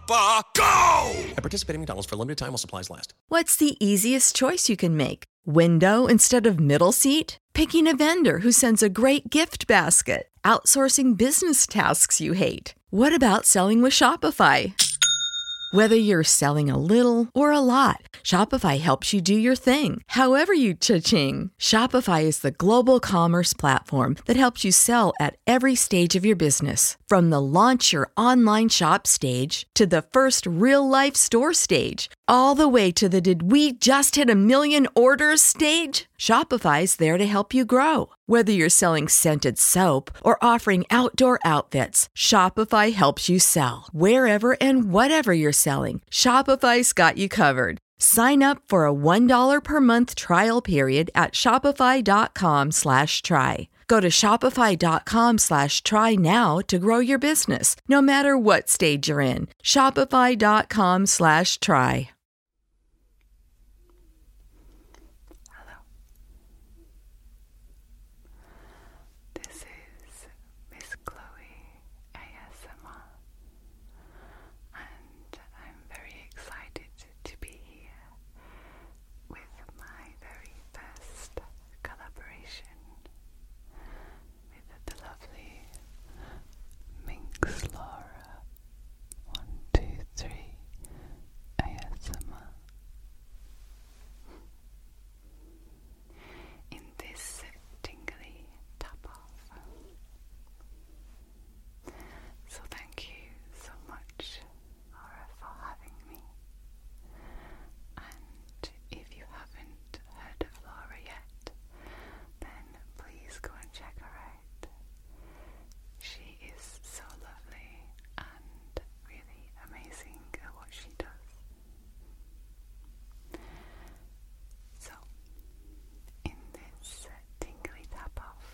Papa, go! McDonald's for limited time while supplies last. What's the easiest choice you can make? Window instead of middle seat? Picking a vendor who sends a great gift basket? Outsourcing business tasks you hate? What about selling with Shopify? Whether you're selling a little or a lot, Shopify helps you do your thing, however you cha-ching. Shopify is the global commerce platform that helps you sell at every stage of your business, from the launch your online shop stage to the first real life store stage, all the way to the did we just hit a million orders stage? Shopify's there to help you grow. Whether you're selling scented soap or offering outdoor outfits, Shopify helps you sell. Wherever and whatever you're selling, Shopify's got you covered. Sign up for a $1 per month trial period at shopify.com slash try. Go to shopify.com slash try now to grow your business, no matter what stage you're in. Shopify.com slash try. Hello. This is Miss Chloe ASMR, and I'm very excited to be here with my very first collaboration with the lovely Minx Laura. One, two, three, ASMR. In this tingly tap off. So, thank you so much Laura, for having me. And if you haven't heard of Laura yet, then please go and check her out. She is so lovely and really amazing at what she does. So, in this tingly tap off,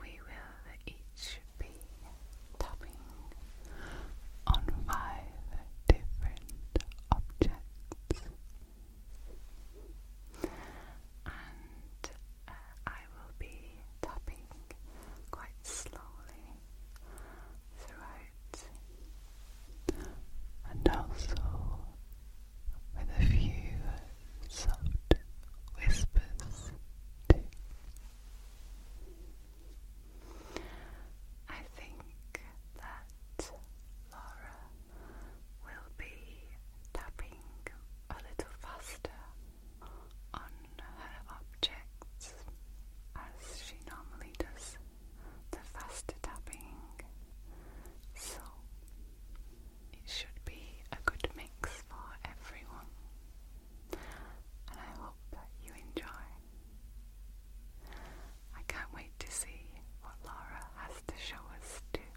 we will each be tapping on five different objects. And uh, I will be tapping quite slowly throughout, and also with a few soft whispers I think that Laura will be tapping a little faster on her objects as she normally does the faster tapping. So it should be a good mix for everyone, and I hope that you enjoy. I can't wait to see what Laura has to show us too.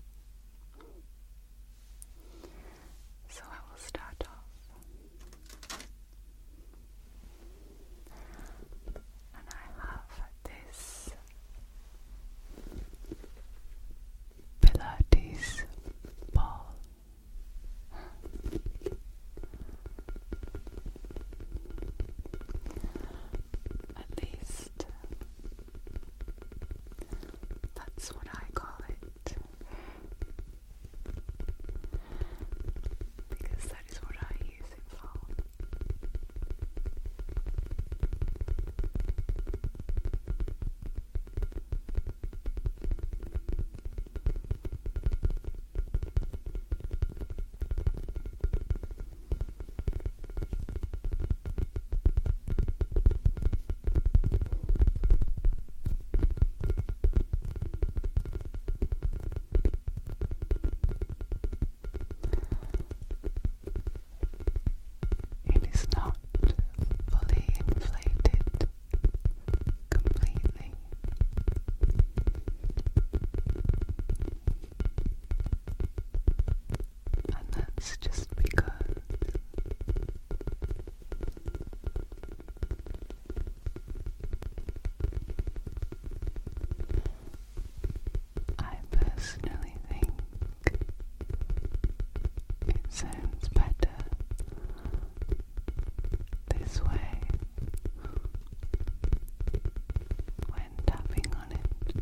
So I will start off. And I have this Pilates ball. At least that's what I call it. Because that is what I use it for. It is not fully inflated completely. And that's just because I personally think it sounds better this way when tapping on it.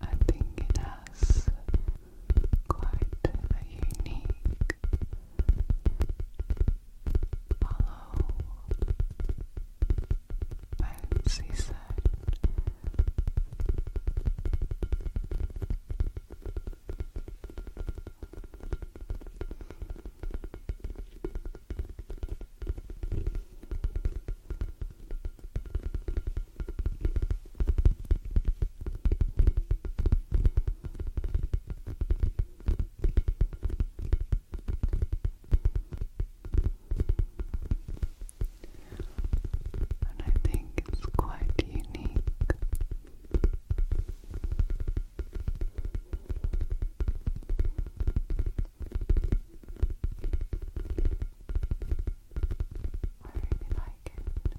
I think it has quite a unique hollow bouncy sound. And I think it's quite unique. I really like it. I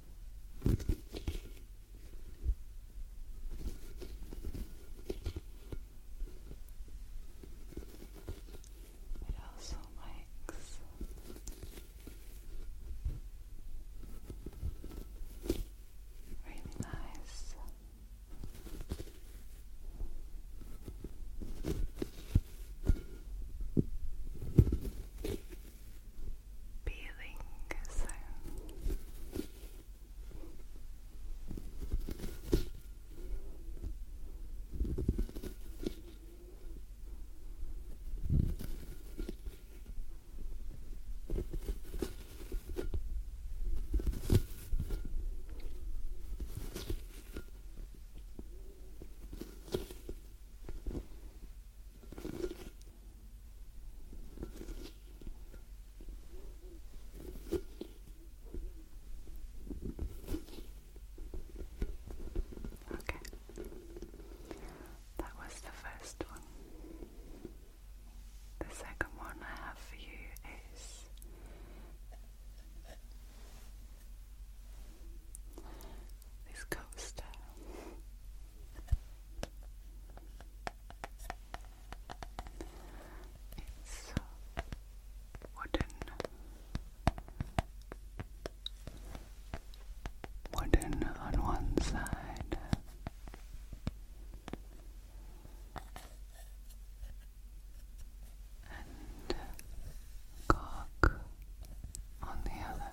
It also likes really nice peeling sound. Okay, that was the first one. The second one I have for you is this coaster. It's wooden, wooden on one side. And cock on the other.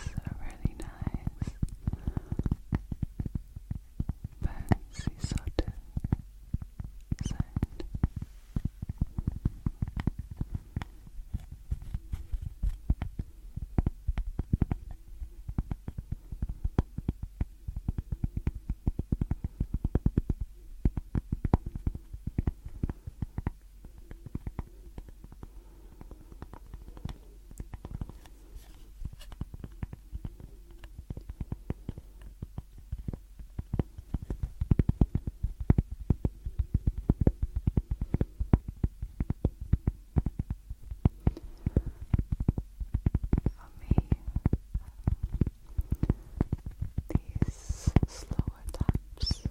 it's a really nice fancy sort of sound. It's for me, these slower taps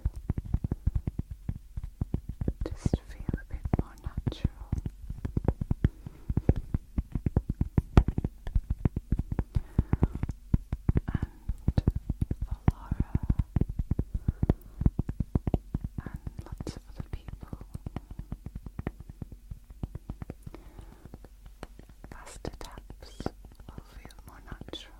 just feel a bit more natural. And for and lots of other people, faster taps will feel more natural.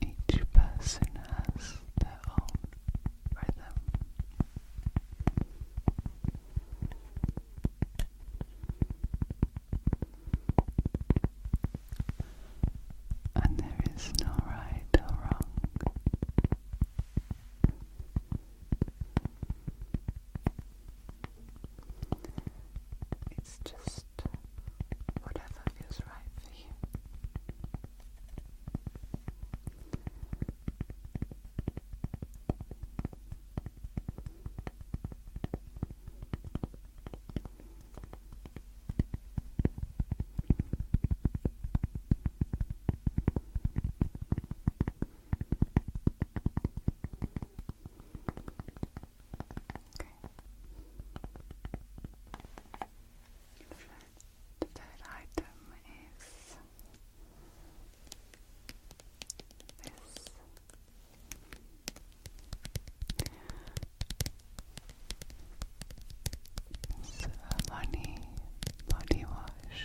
Each person has their own rhythm. And there is no right or wrong. It's just whatever feels right for you. The third item is this. money body wash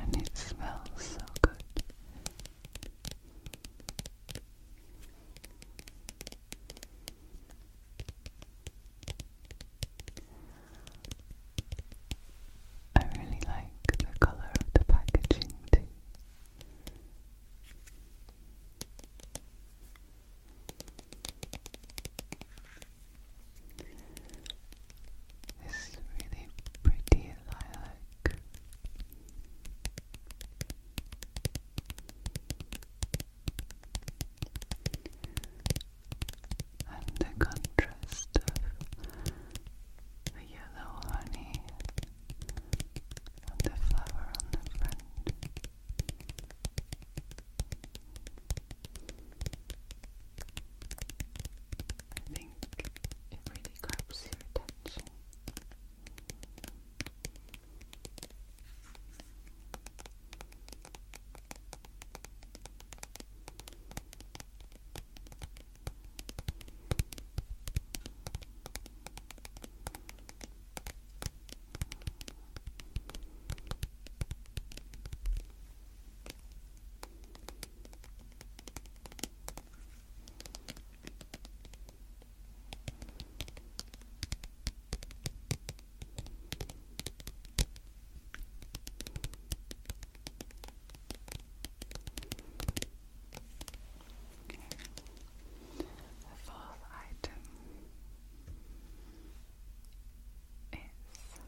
and it smells so good. I really like the color of the packaging too. This really pretty lilac. And the contrast of the yellow honey and the flower on the front I think it really grabs your attention. Okay. The fourth item is this.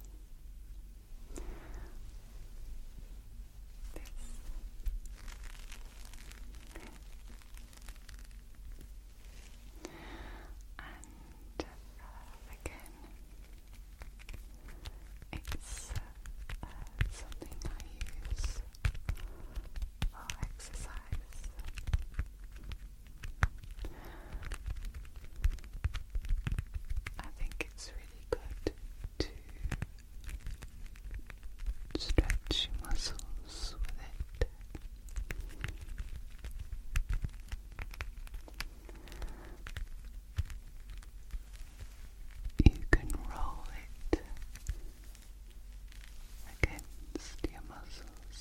And uh, again, it's uh, something I use for exercise. I think it's really good to stretch your muscles with it. You can roll it against your muscles.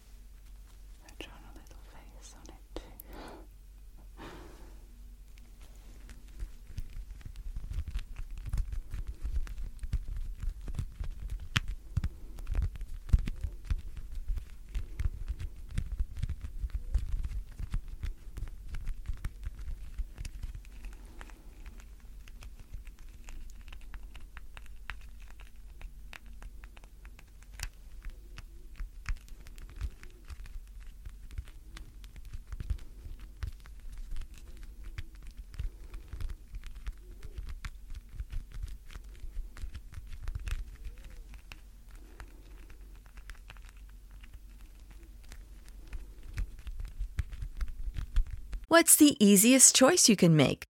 I've drawn a little face on it too. What's the easiest choice you can make?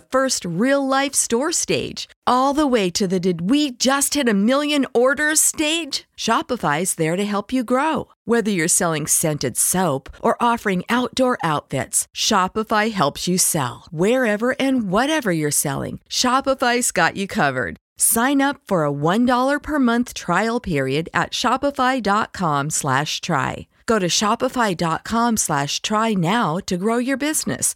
first real life store stage, all the way to the did we just hit a million orders stage? Shopify's there to help you grow. Whether you're selling scented soap or offering outdoor outfits, Shopify helps you sell. Wherever and whatever you're selling, Shopify's got you covered. Sign up for a $1 per month trial period at shopify.com slash try. Go to shopify.com slash try now to grow your business,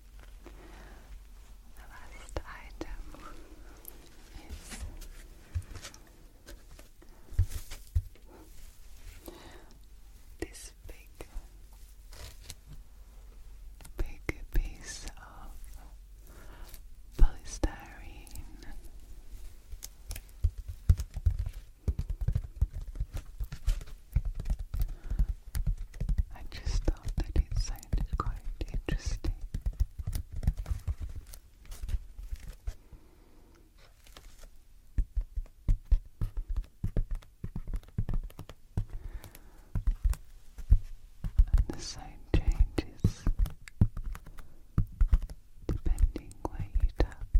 The last item is this big, big piece of polystyrene. I just thought that it sounded quite interesting. And the sound changes depending where you tap.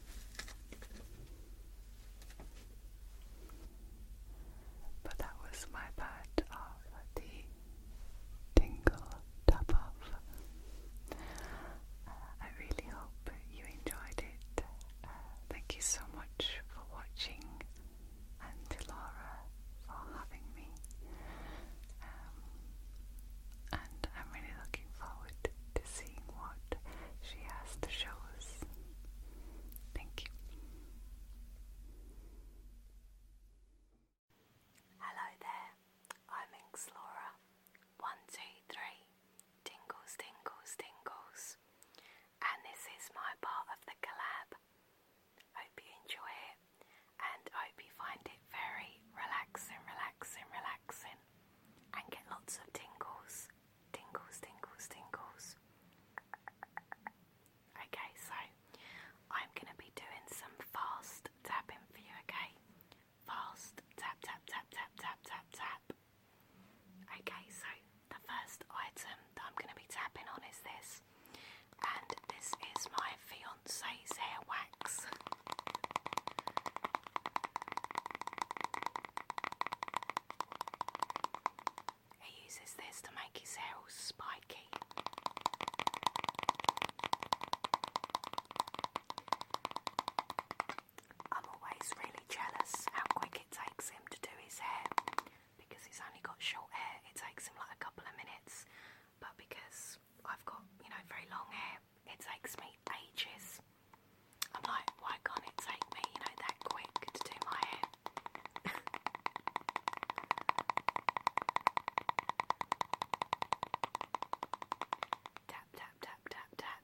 But that was my part of the tingle top off. Uh, I really hope you enjoyed it. Uh, thank you so much for watching, and to Laura for having me. Um, and I'm really looking forward to seeing what she has to show us. Thank you. Hello there, I'm Inxlora. One, two, three. Tingles, tingles, tingles. And this is my part of the collab. Hope you enjoy it and hope you find it very relaxing, relaxing, relaxing and get lots of tingles, tingles, tingles, tingles. Okay, so I'm going to be doing some fast tapping for you, okay? Fast tap, tap, tap, tap, tap, tap, tap. Okay, so the first item that I'm going to be tapping on is this, and this is my fiance's hair wax. He uses this to make his hair all spiky. I'm always really jealous how quick it takes him to do his hair because he's only got short hair, it takes him like a couple of minutes. But because I've got, you know, very long hair, it takes me ages. I'm like, why can't it take me, you know, that quick to do my hair? tap, tap, tap, tap, tap.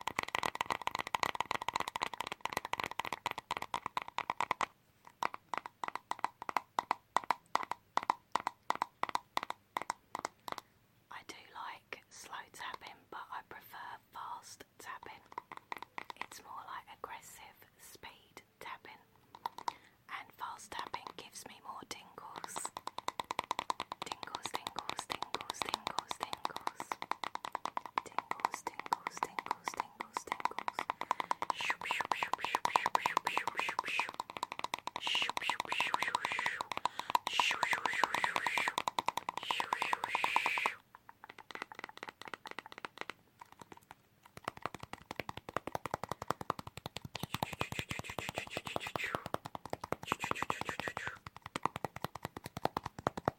I do like slow tapping, but I prefer fast tapping. It's more like aggressive speed tapping, and fast tapping gives me more tingles. Tingles, tingles, tingles, tingles, tingles tingles, tingles, tingles, tingles, tingles, tingles. Shoop, shoop, shoop, shoop, shoop, shoop, shoop, shoop, shoop. Shoop, shoop, shoop, shoop, shoop. Shoop, shoop, shoop, shoop, shoop. Shoop, shoop, shoop. Shoop, shoop, shoop, shoop, shoop.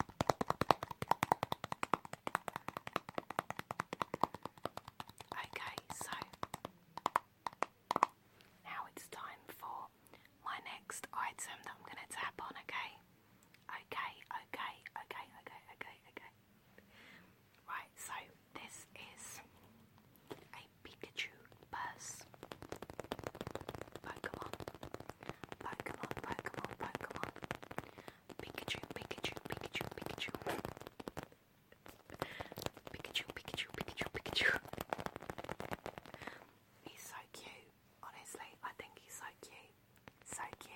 Okay, so now it's time for my next item that I'm going to tap on, okay? Okay, okay, okay, okay, okay, okay. Right, so this is a Pikachu purse. Pokemon Pokemon, Pokemon, Pokemon. Pikachu, Pikachu, Pikachu, Pikachu. Pikachu, Pikachu, Pikachu, Pikachu. He's so cute. Honestly, I think he's so cute. So cute.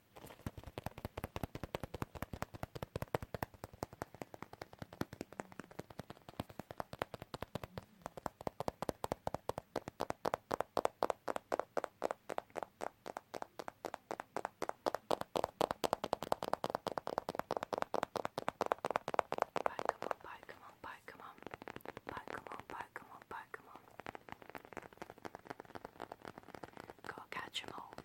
Pokemon, Pokemon, Pokemon, Pokemon, Pokemon, Pokemon. Gotta catch 'em all.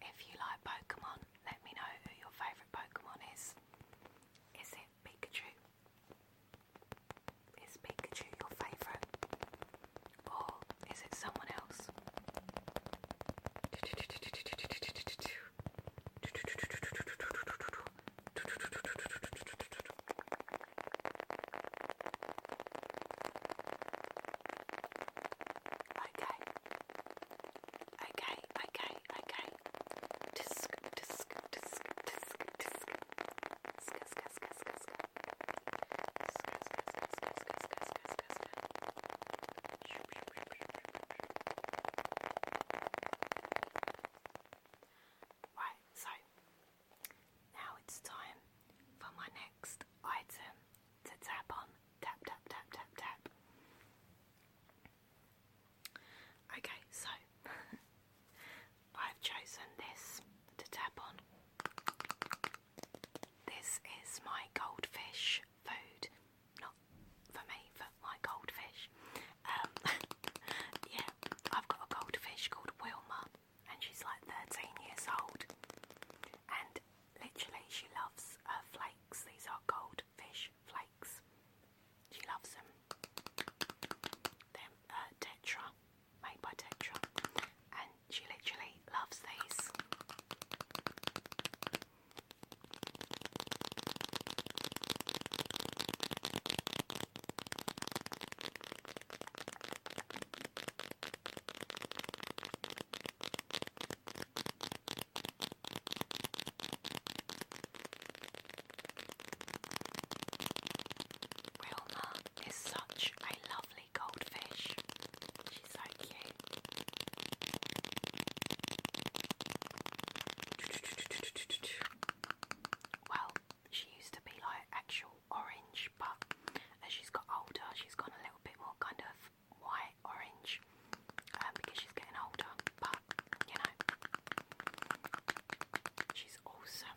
If you like Pokemon, let me know who your favourite Pokemon is. Is it Pikachu? Is Pikachu your favourite? Or is it someone else? Okay. Okay, okay, okay. Tisk, tisk, tisk, tisk, tisk. Sk, sk, sk, sk, sk. Sk, sk, sk, sk, sk, sk, sk, sk, sk. Shoop, shoop, shoop, shoop, shoop, shoop. Right, so now it's time for my next item to tap on. Tap, tap, tap, tap, tap. Okay, so I've chosen this to tap on. This is my goldfish food. Not for me, for my goldfish. Um, yeah, I've got a goldfish called Wilma, and she's like 13 years old. And literally, she loves her flakes. These are goldfish flakes. She loves them. they uh, Tetra, made by Tetra, and she literally loves these. Wilma is such a lovely goldfish. She's so cute. Well, she used to be like actual orange, but as she's got older, she's gone a little bit more kind of white orange um, because she's getting older. But you know, she's awesome.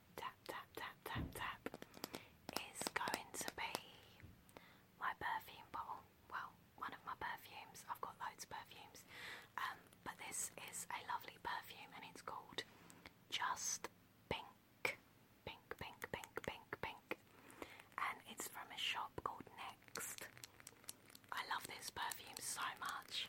tap, tap, tap, tap, tap is going to be my perfume bottle. Well, one of my perfumes. I've got loads of perfumes. Um, but this is a lovely perfume and it's called Just Pink. Pink, pink, pink, pink, pink. And it's from a shop called Next. I love this perfume so much.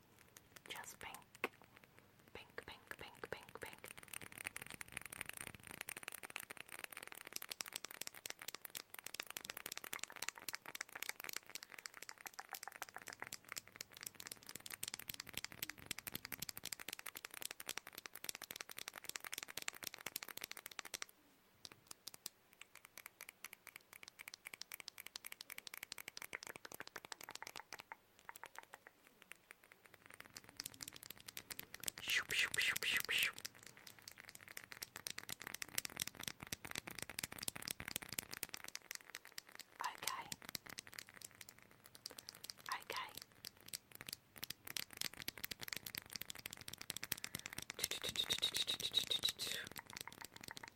Just pink. Pink, pink, pink, pink, pink. Shoop, shoop, shoop, shoop, shoop. Okay. Okay.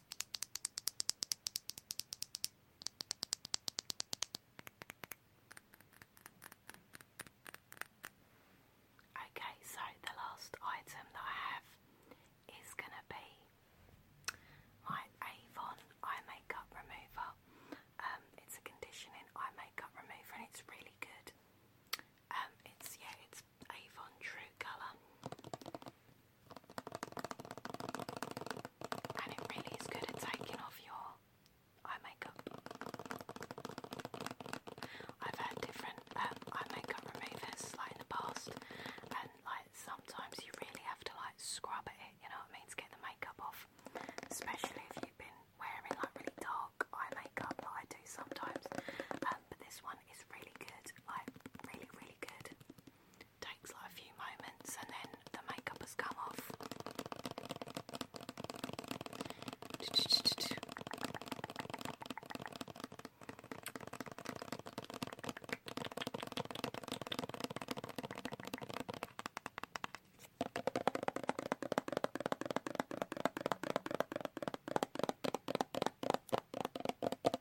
Okay, so the last item that I have is gonna be my Avon eye makeup remover. Um, it's a conditioning eye makeup remover, and it's really good. Um, it's yeah, it's Avon True Colour. And it really is good at taking off your eye makeup. I've had different um, eye makeup removers like in the past, and like sometimes you really have to like scrub it, you know what I mean, to get the makeup off. Especially if you've been wearing like really dark eye makeup, like I do sometimes. Um, but this one is really good, like really, really good. Takes like a few moments and then the makeup has come off.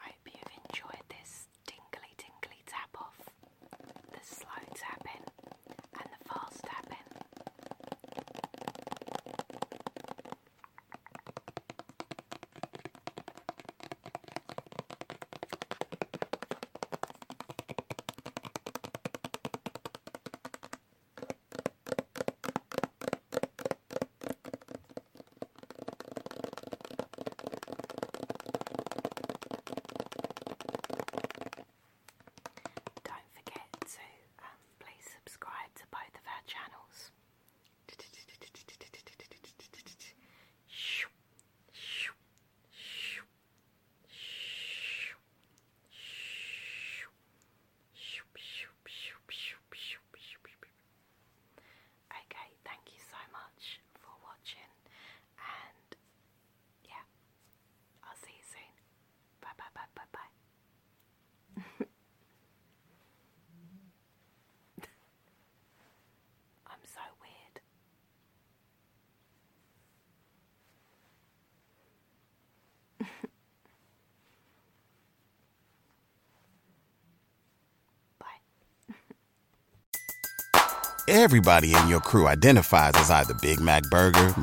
Hope you've enjoyed this tingly, tingly tap off, the slow tapping and the fast tapping. Don't forget to um, please subscribe to both of our channels. Okay, thank you so much for watching, and yeah, I'll see you soon. Bye bye bye bye bye. I'm so weird. Bye. Everybody in your crew identifies as either Big Mac Burger,